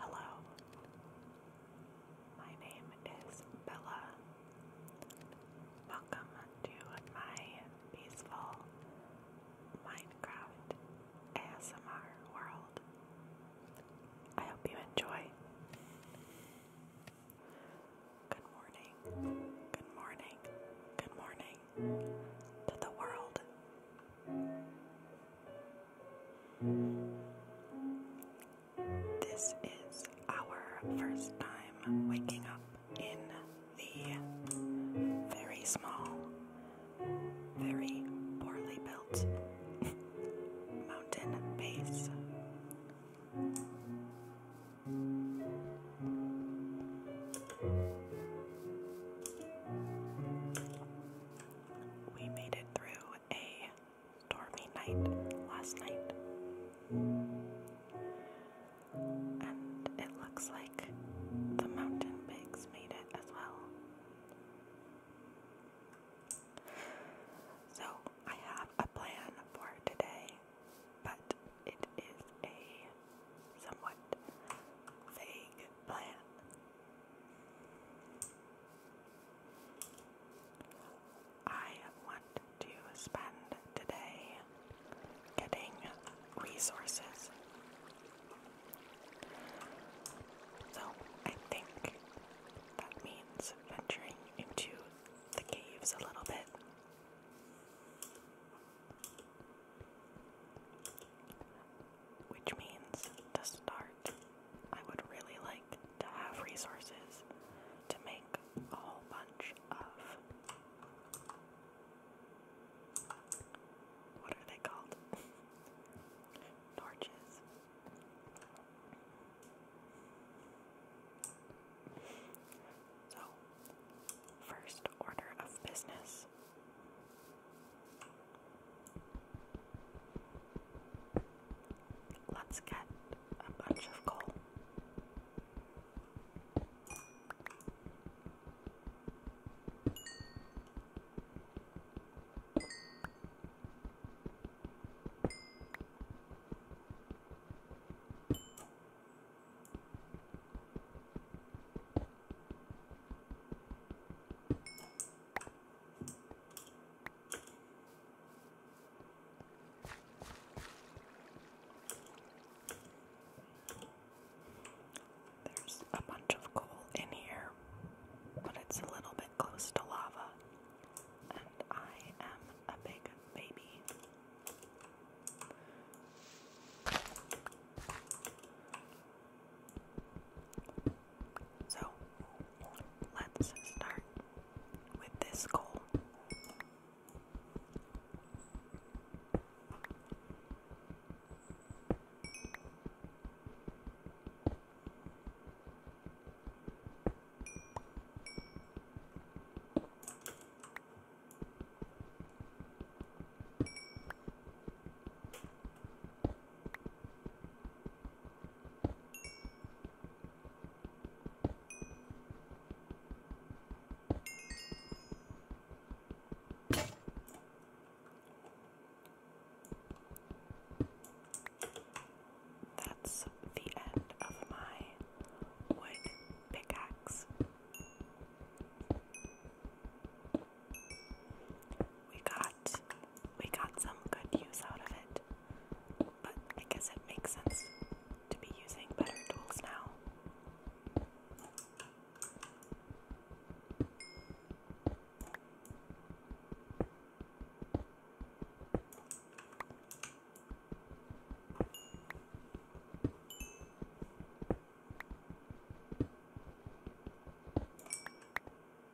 Hello, my name is Bella. Welcome to my peaceful Minecraft ASMR world. I hope you enjoy. Good morning, good morning, good morning to the world. This is our first time waking up in the very small, very poorly built mountain base we made it through a stormy night last night. And it looks like the mountain pigs made it as well. So I have a plan for today, but it is a somewhat vague plan. I want to spend today getting resources. So I think that means venturing into the caves a little bit which means to start, I would really like to have resources to make a whole bunch of. What are they called? Torches. So, first order of business this. Let's get a bunch of coal. There's a bunch of coal in here, but it's a little bit close to lava, and I am a big baby. So let's start with this goal. That's the end of my wood pickaxe. We got we got some good use out of it. But I guess it makes sense to be using better tools now.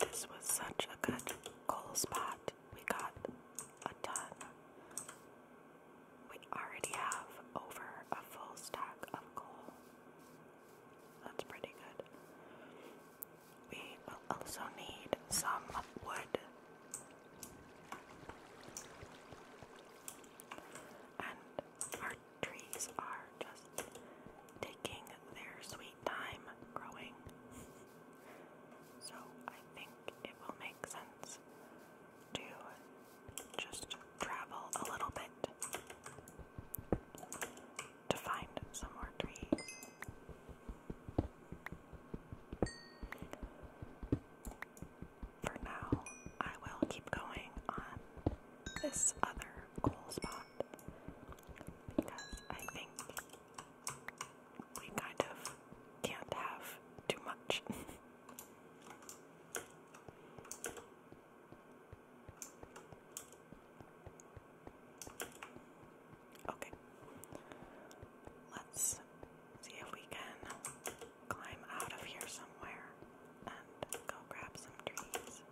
This was such a good coal spot. We got a ton. We already have over a full stack of coal. That's pretty good. We also need some wood. And trees are just taking their sweet time growing. So I think it will make sense to just travel a little bit to find some more trees. For now, I will keep going on this other cool spot because I think we kind of can't have too much. okay, let's see if we can climb out of here somewhere and go grab some trees.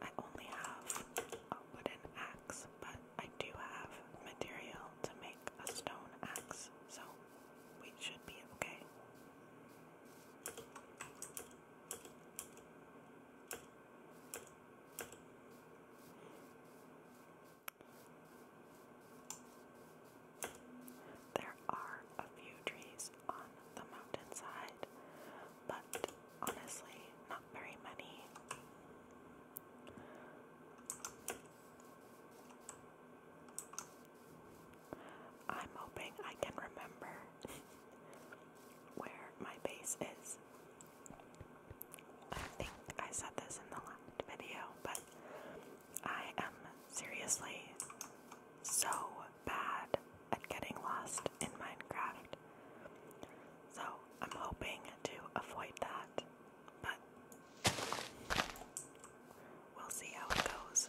I only have a wooden axe, but I do have material to make a stone axe, so we should be okay. There are a few trees on the mountainside, but honestly, not very many. I'm hoping I can remember where my base is. I think I said this in the last video, but I am seriously so bad at getting lost in Minecraft. So I'm hoping to avoid that, but we'll see how it goes.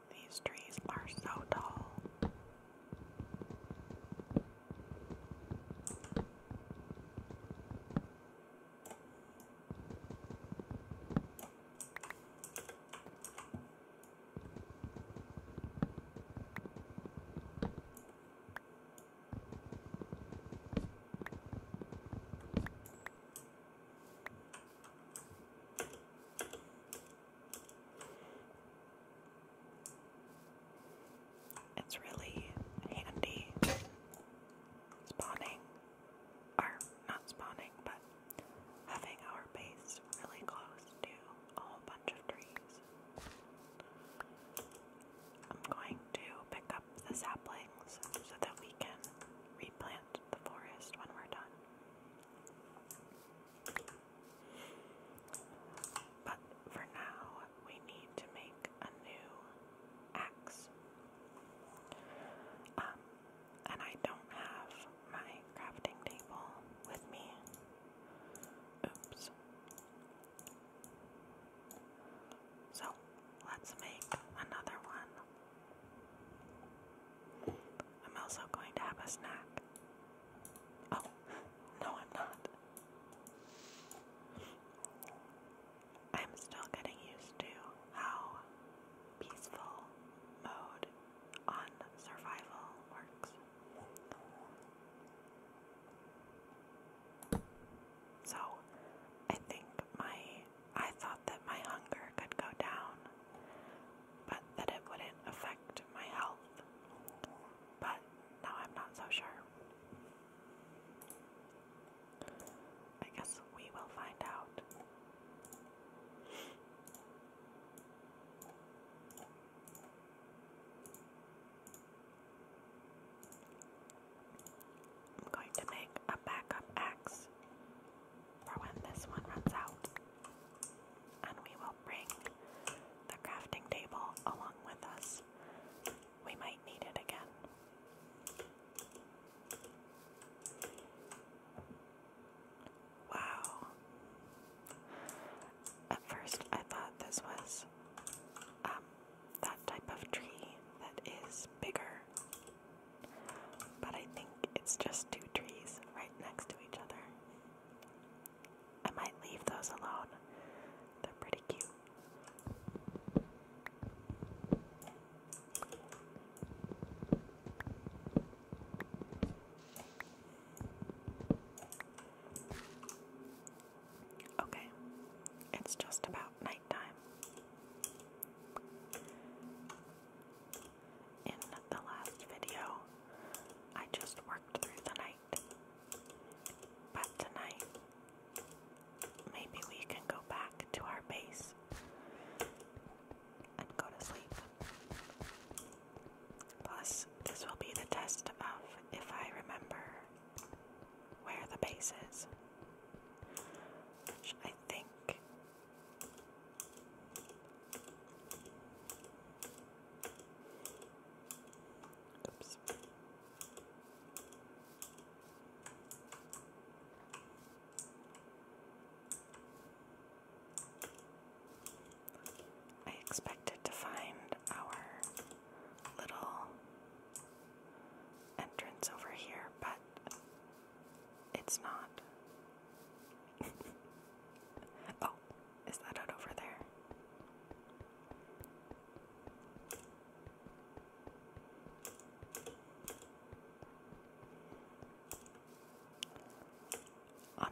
These trees are so tall. It's really handy spawning, or not spawning, but having our base really close to a whole bunch of trees. I'm going to pick up the saplings so that we can replant the forest when we're done. But for now, we need to make a new axe. Um, and I don't have my crafting table with me. Oops. So let's make another one. I'm also going to have a snack. Oh, no, I'm not. I'm still getting used to how peaceful mode on survival works. So, I think my I thought that my hunger could go down but that it wouldn't affect my health. But now I'm not so sure. I guess we will find out. I'm going to make a backup axe for when this one runs out. And we will bring the crafting table along with us. We might need it again. Wow. At first, I thought this was um, that type of tree that is bigger but I think it's just two trees right next to each other. I might leave those alone. They're pretty cute. Okay, it's just about nighttime. In the last video, I just worked through the night. But tonight, maybe we can go back to our base and go to sleep. Plus, this will be the test of if I remember where the base is. Which I think I expected to find our little entrance over here, but it's not. oh, is that out over there?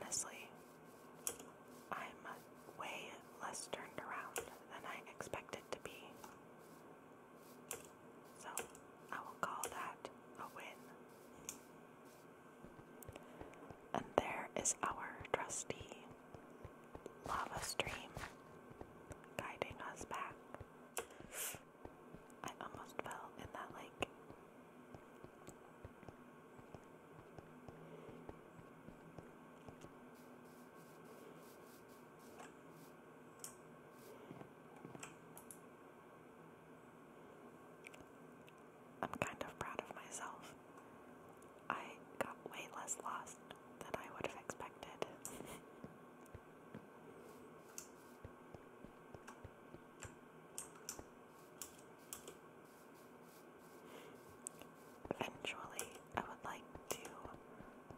Honestly, I'm way less turned around than I expected to be. So I will call that a win. And there is our trusty lava stream guiding us back. I almost fell in that lake. I'm kind of proud of myself. I got way less lost than I would have expected. Eventually, I would like to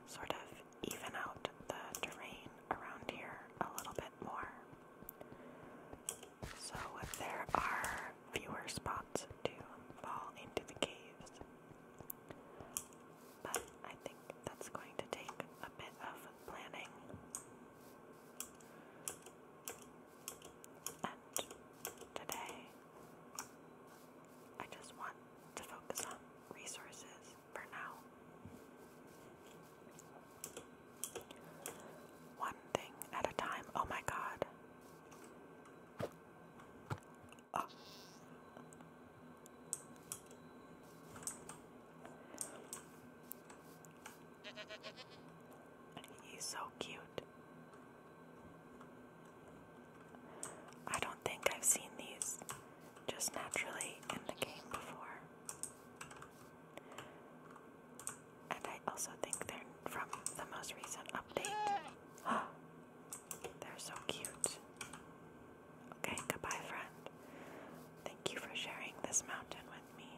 sort of even out the terrain around here a little bit more. So there are fewer spots to fall into the caves. But I think that's going to take a bit of planning. And today, I just want to focus on resources for now. One thing at a time. Oh my god. Oh. He's so cute. I don't think I've seen these just naturally in the game before and I also think they're from the most recent update. they're so cute. Okay, goodbye, friend. Thank you for sharing this mountain with me.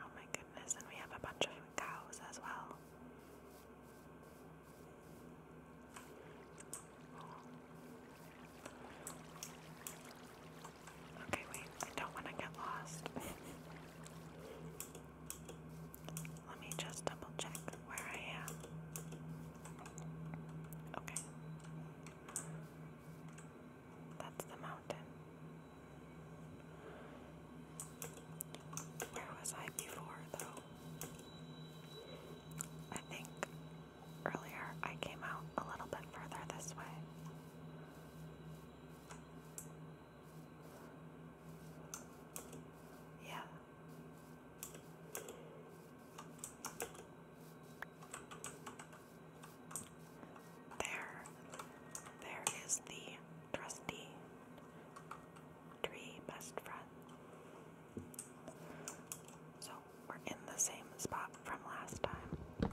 Oh my goodness, and we have a bunch of cows as well. Okay, wait, I don't want to get lost. Let me just double check where I am. Okay. That's the mountain. Where was I before, though? I think earlier I came out a little bit further this way. Yeah. There, there is the trusty tree best friend. So we're in the same spot from last time.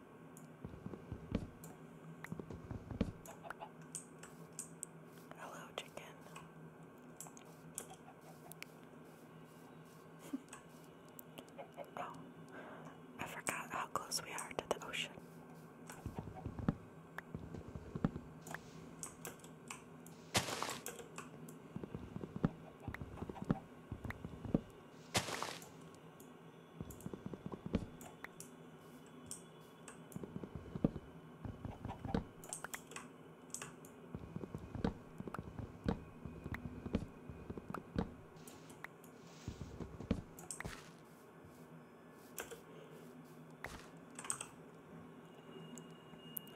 Hello, chicken. oh, I forgot how close we are to the ocean.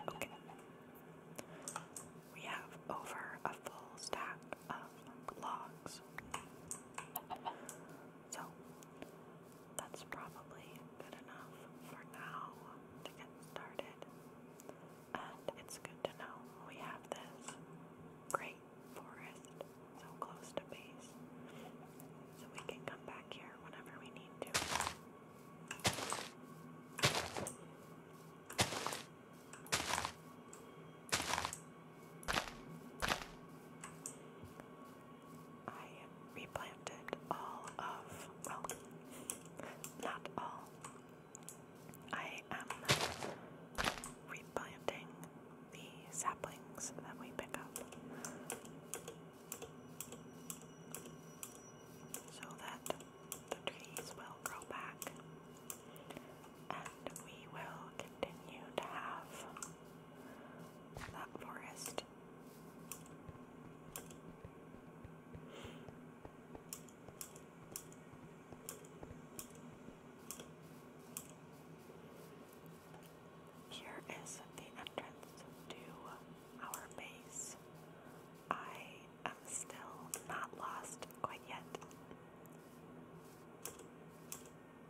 Okay. We have over a full stack of logs things. So that's probably good enough for now to get started. And it's good to know we have this great forest so close to base. So we can come back here whenever we need to. I replanted all of, well, not all. I am replanting the saplings that we pick up so that the trees will grow back and we will continue to have that forest. Here is the entrance to our base. I am still not lost quite yet.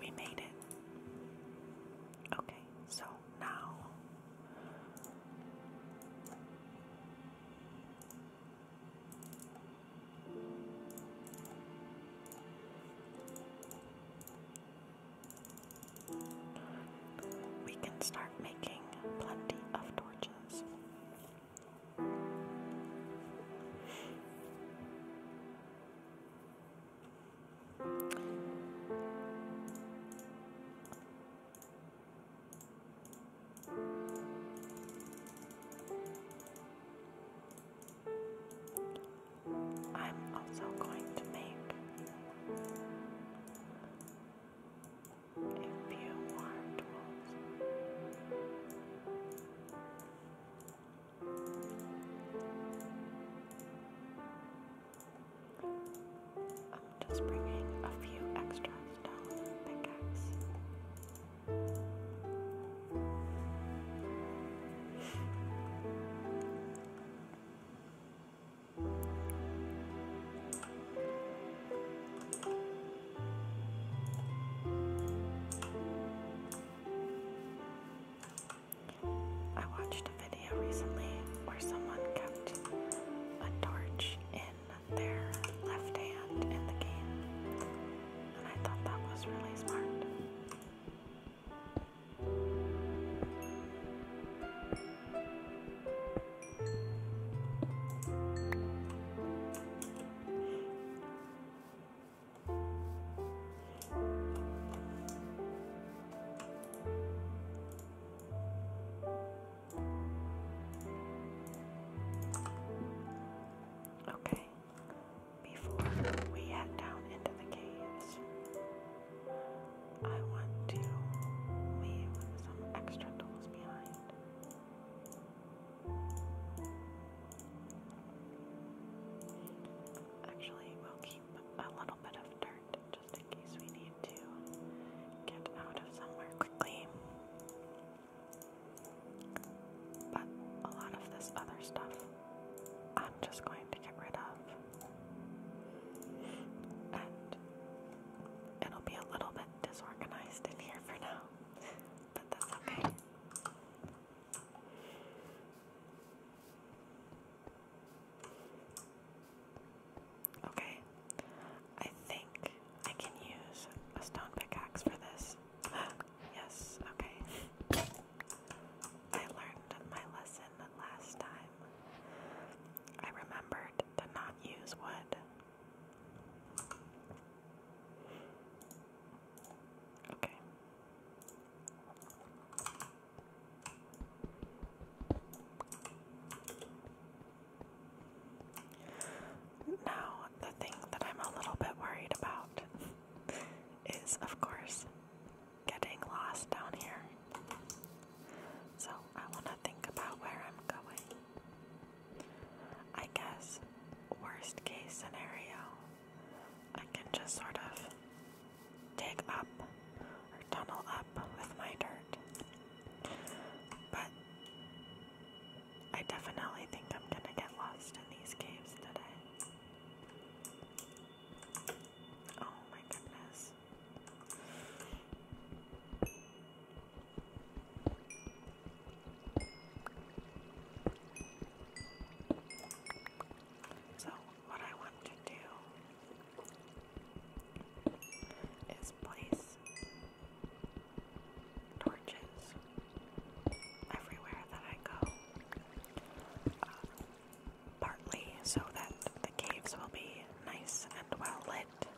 We made it. Okay, so now we can start making plenty of torches. I'm also going to make, if you want tools, I'm just bringing a few extras down the pickaxe. I watched a video recently where someone kept a torch in their left hand in the game, and I thought that was really smart. Okay, before we head down into the caves, I want to leave some extra tools behind. Actually, we'll keep a little bit of dirt just in case we need to get out of somewhere quickly. But a lot of this other stuff I'm just going to get rid of. And it'll be a little bit disorganized in here for now, but that's okay. Okay, I think I can use a stone pickaxe for this. yes, okay. I learned my lesson last time. I remembered to not use wood. Okay. Now, the thing that I'm a little bit worried about is, of course, getting lost down here. So, I want to think about where I'm going. I guess, worst case scenario, I can just sort of dig up or tunnel up with my dirt. But I definitely think I'm gonna get lost in these caves today. Oh my goodness. So, what I want to do is place torches everywhere that I go. Uh, partly so that the caves will be nice and well lit,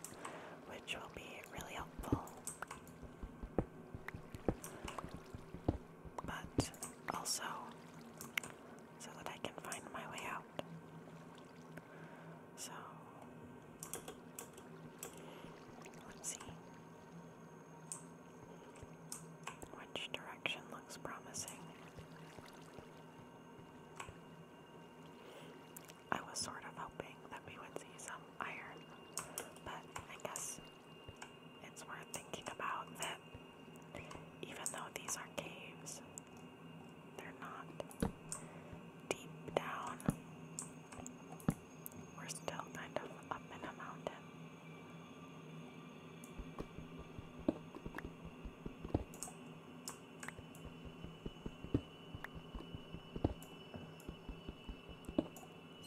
which will be really helpful but also so that I can find my way out. So, let's see. Which direction looks promising? I was sort of hoping that we would see some iron, but I guess it's worth thinking about that even though these are caves, they're not deep down. We're still kind of up in a mountain.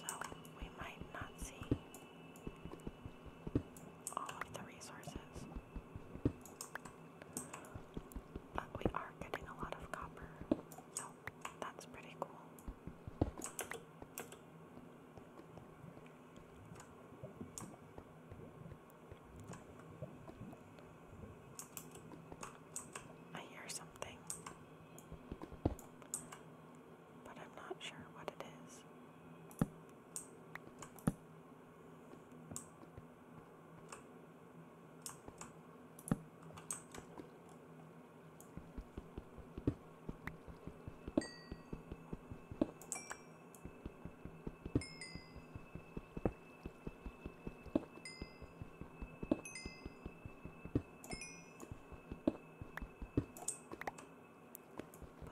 So we might not see all of the resources. Uh, we are getting a lot of copper, so that's pretty cool. I hear something but I'm not sure what it is.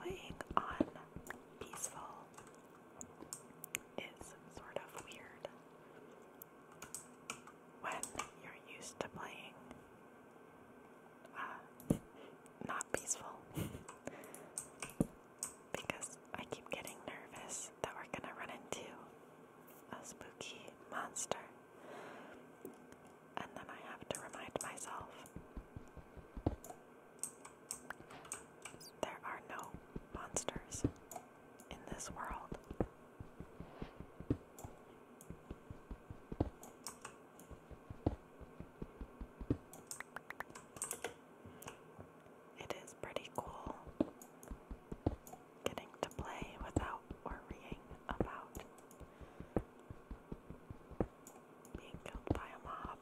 Playing on peaceful is sort of weird when you're used to playing uh, not peaceful because I keep getting nervous that we're gonna run into a spooky monster and then I have to remind myself there are no monsters in this world. It is pretty cool getting to play without worrying about being killed by a mob.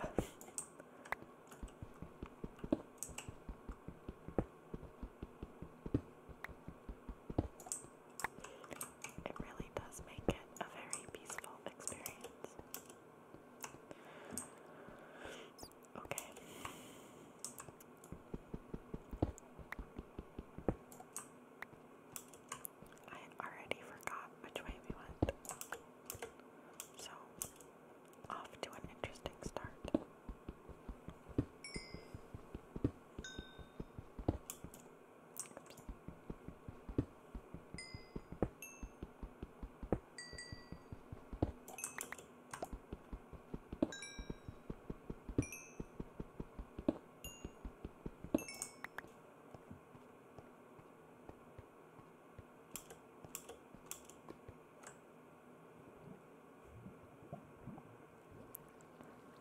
It really does make it a very peaceful experience. Okay. I already forgot which way we went. So, off to an interesting start.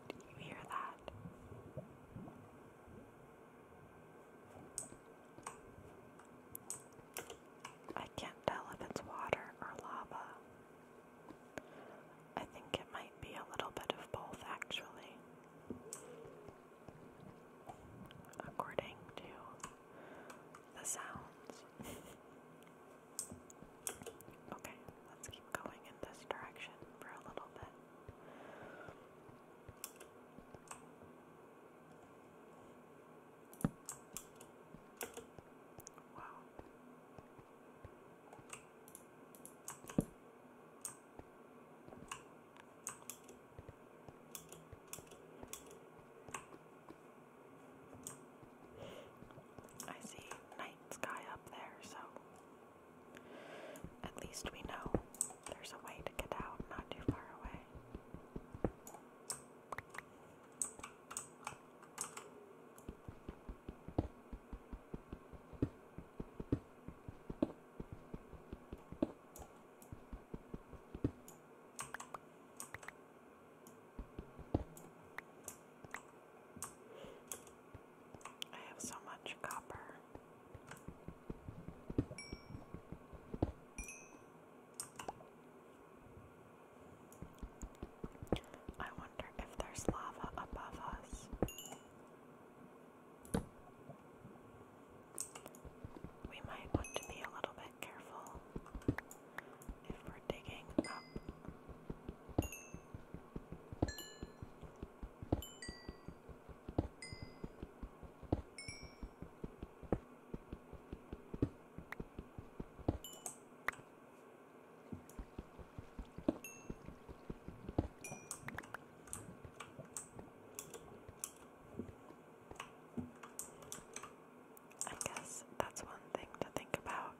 Did you hear that? I can't tell if it's water or lava. I think it might be a little bit of both, actually according to the sounds. okay, let's keep going in this direction for a little bit. Wow. I see night sky up there, so at least we know there's a way to get out not too far away. I have so much copper. I wonder if there's lava above us. We might want to be a little bit careful if we're digging I guess that's one thing to think about.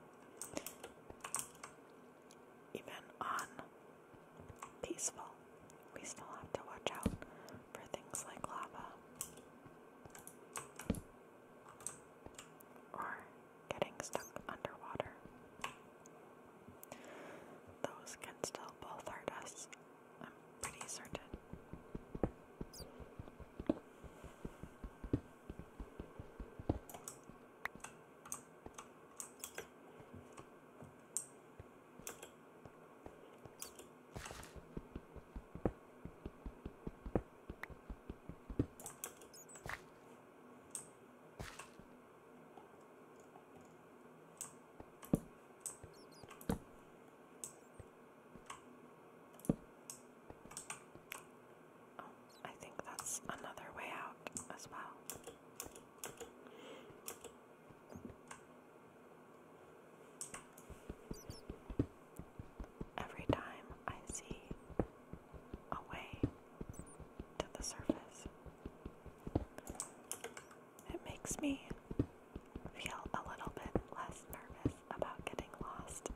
Even on peaceful, we still have to watch out for things like lava or getting stuck underwater. Those can still both hurt us I'm pretty certain. Oh, I think that's another way out as well. Every time I see a way to the surface, it makes me feel a little bit less nervous about getting lost.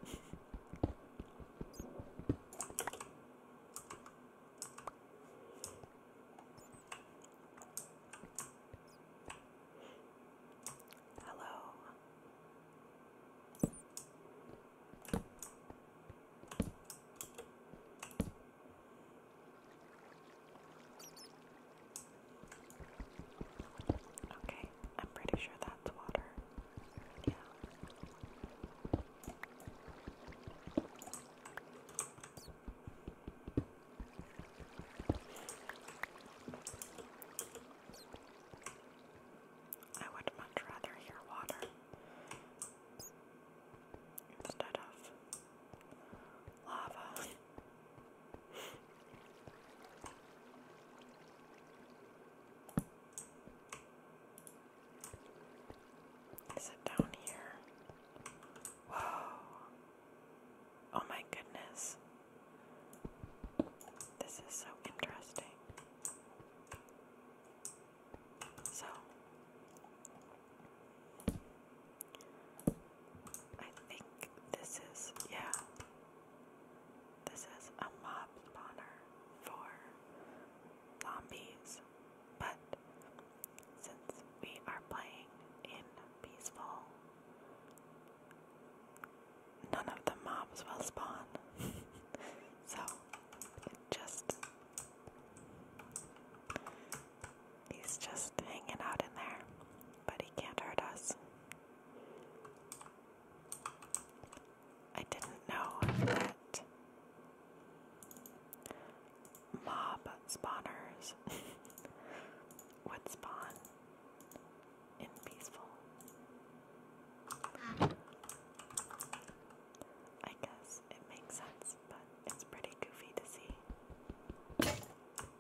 Hello. Okay, I'm pretty sure that's water. Yeah. I would much rather hear water instead of lava. Is it down here? Whoa. Oh my goodness. This is so interesting. So, I think this is, yeah, this is a mob spawner for zombies, but since we are playing in peaceful, none of the mobs will spawn. so just He's just hanging out in there, but he can't hurt us. I didn't know that mob spawners would spawn in peaceful. I guess it makes sense, but it's pretty goofy to see.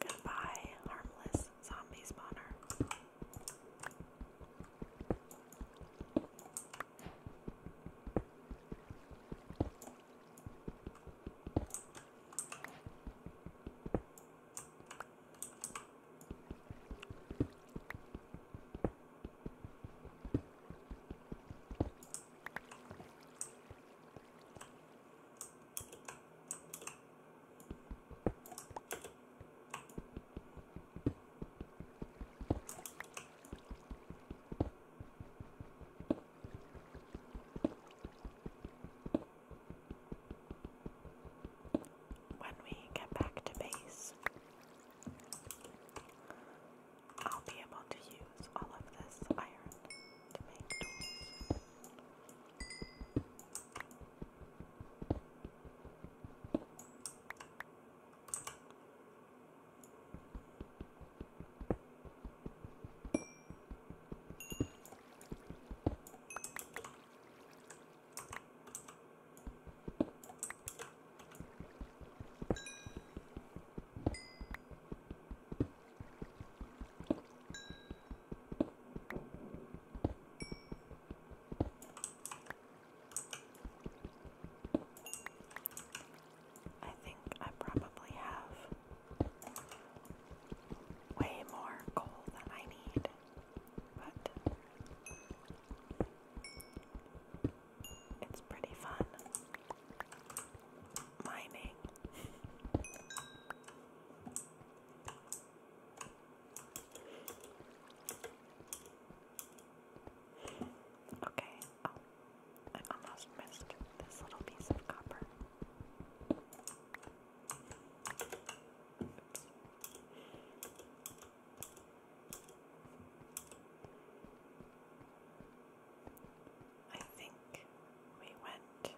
Goodbye, harmless zombie spawner. When we get back to base, I'll be able to use all of this iron to make tools. I think I probably have way more coal than I need, but it's pretty fun. Mining. okay. Oh, I almost missed this little piece of copper. I think we went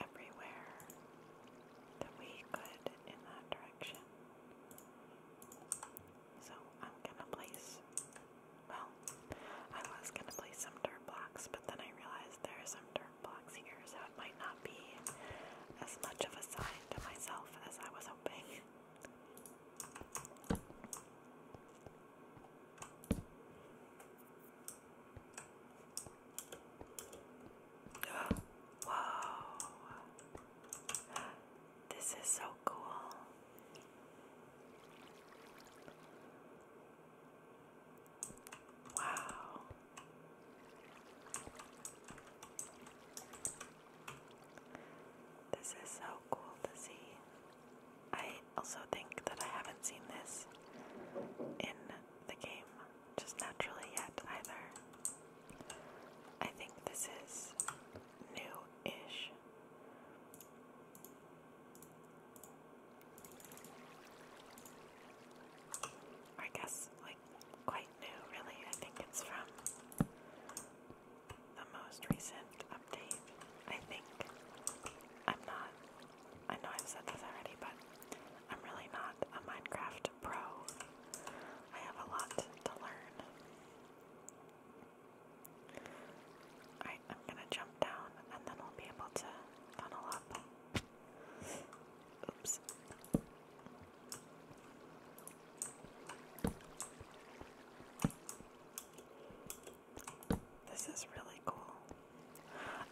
everywhere that we could in that direction. So I'm gonna place, well, I was gonna place some dirt blocks, but then I realized there are some dirt blocks here, so it might not be as much of a sign to myself as I was hoping. Whoa, this is so cool. Wow. This is so cool to see. I also think that I haven't seen this in the game just naturally yet either. I think this is new ish. I guess, like, quite new, really. I think it's from the most recent update, I think. I'm not, I know I've said this already, but I'm really not a Minecraft pro. I have a lot to learn. I'm gonna jump down and then we'll be able to tunnel up. Oops. This is really cool.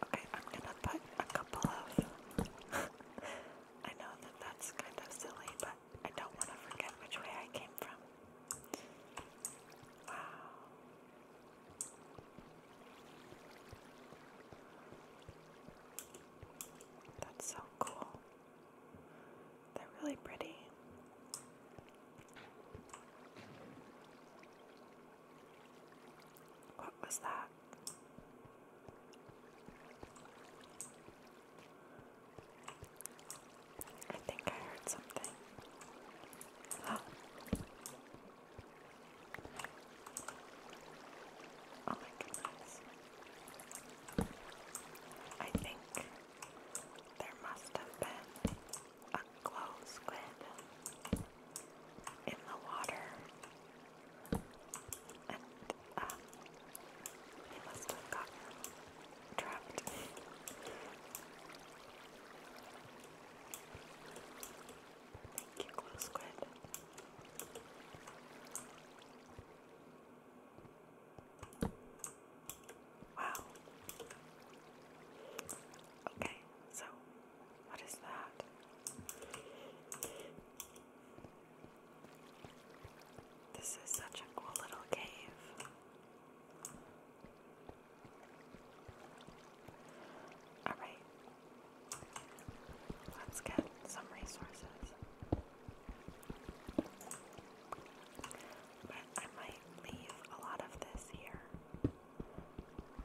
Okay, I'm gonna put a couple of. I know that that's kind of silly, but I don't want to forget which way I came from. Wow. That's so cool. They're really pretty. What was that? I think I heard something. Oh. Oh my goodness. I think there must have been a glow squid in the water. And uh, must have gotten trapped. Thank you, glow squid. Wow. Okay, so what is that? This is such a cool little cave. Alright, let's get some resources. But I might leave a lot of this here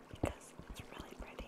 because it's really pretty.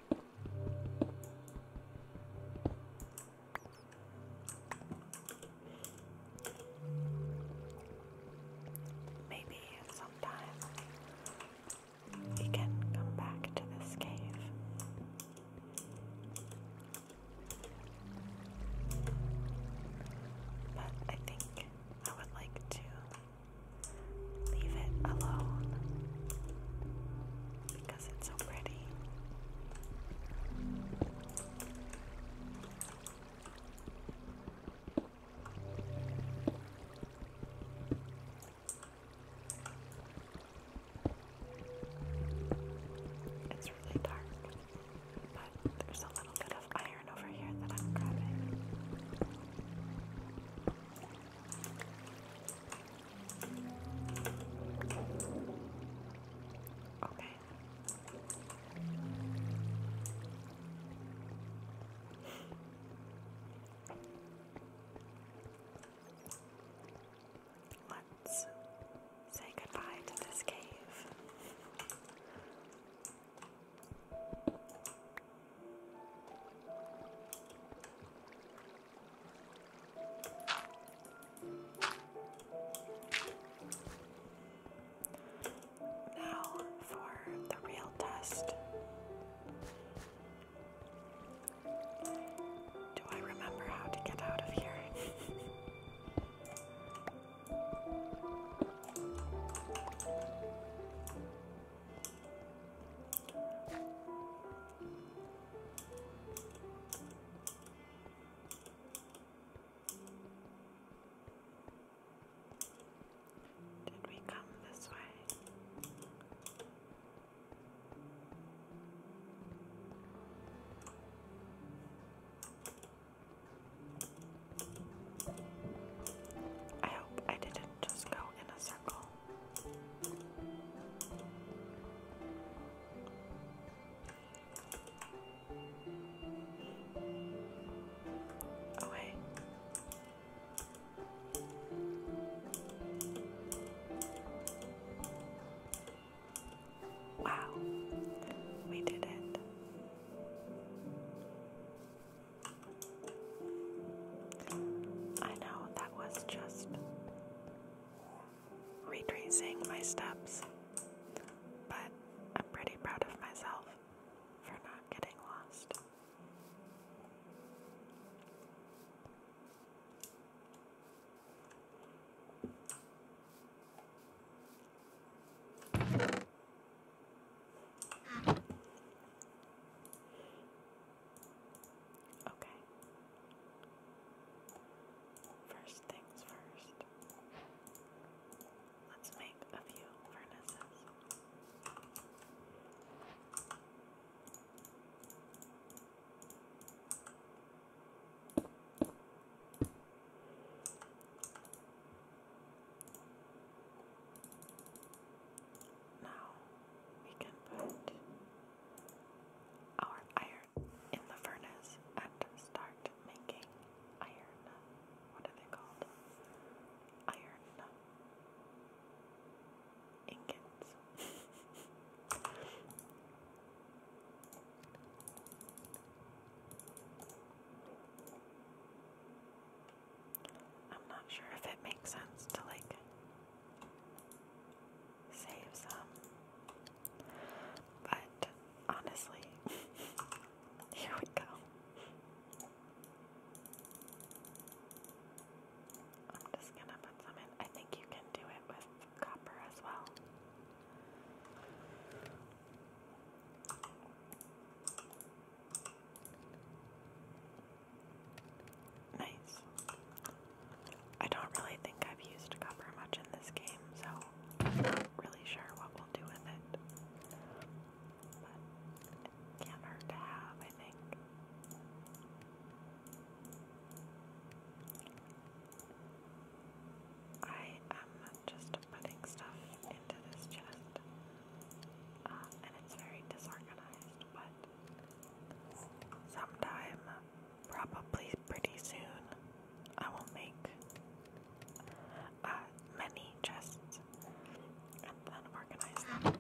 Maybe sometime we can come back to this cave. But I think I would like to Leave it alone because it's so pretty. It's really dark, but there's a little bit of iron over here that I'm grabbing. Okay. Let's say goodbye to this cave. Now for the real test. Do I remember how to get out of here? Did we come this way? I hope I didn't just go in a circle. Away. Oh, wow, we did it. I know that was just retracing my steps, but I'm pretty proud of myself for not getting lost. Okay. First things first. Let's make a few furnaces. Now we can put our iron in the furnace and start making iron. What are they called? Iron ingots. I'm not sure if it makes sense to like save some. But honestly, here we go. I'm just gonna put some in. I think you can do it with copper as well. Nice. I don't really think I've used copper much in this game, so I'm not really sure what we'll do with it. But can't hurt to have, I think. I am just putting stuff into this chest, uh, and it's very disorganized, but sometime, probably pretty soon, I will make uh, many chests and then organize them.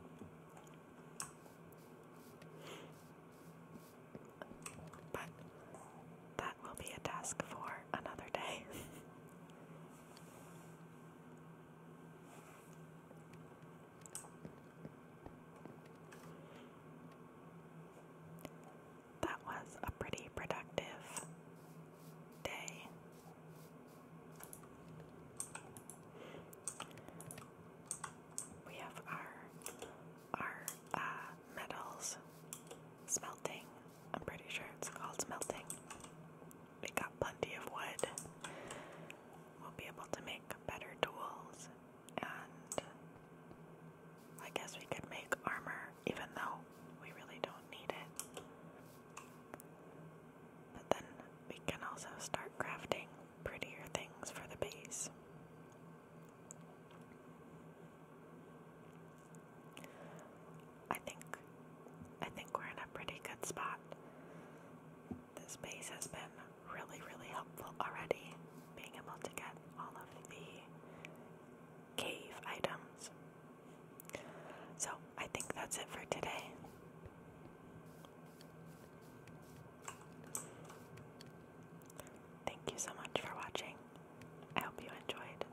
But that will be a task for another day. That was a pretty productive day. We have our our uh, metals smelting. I'm pretty sure it's called smelting. We got plenty of wood. We'll be able to make better tools and I guess we could make armor even though we really don't need it. But then we can also start crafting prettier things for the base. I think I think we're in a pretty good spot this base has been really, really helpful already, being able to get all of the cave items. So I think that's it for today. Thank you so much for watching. I hope you enjoyed.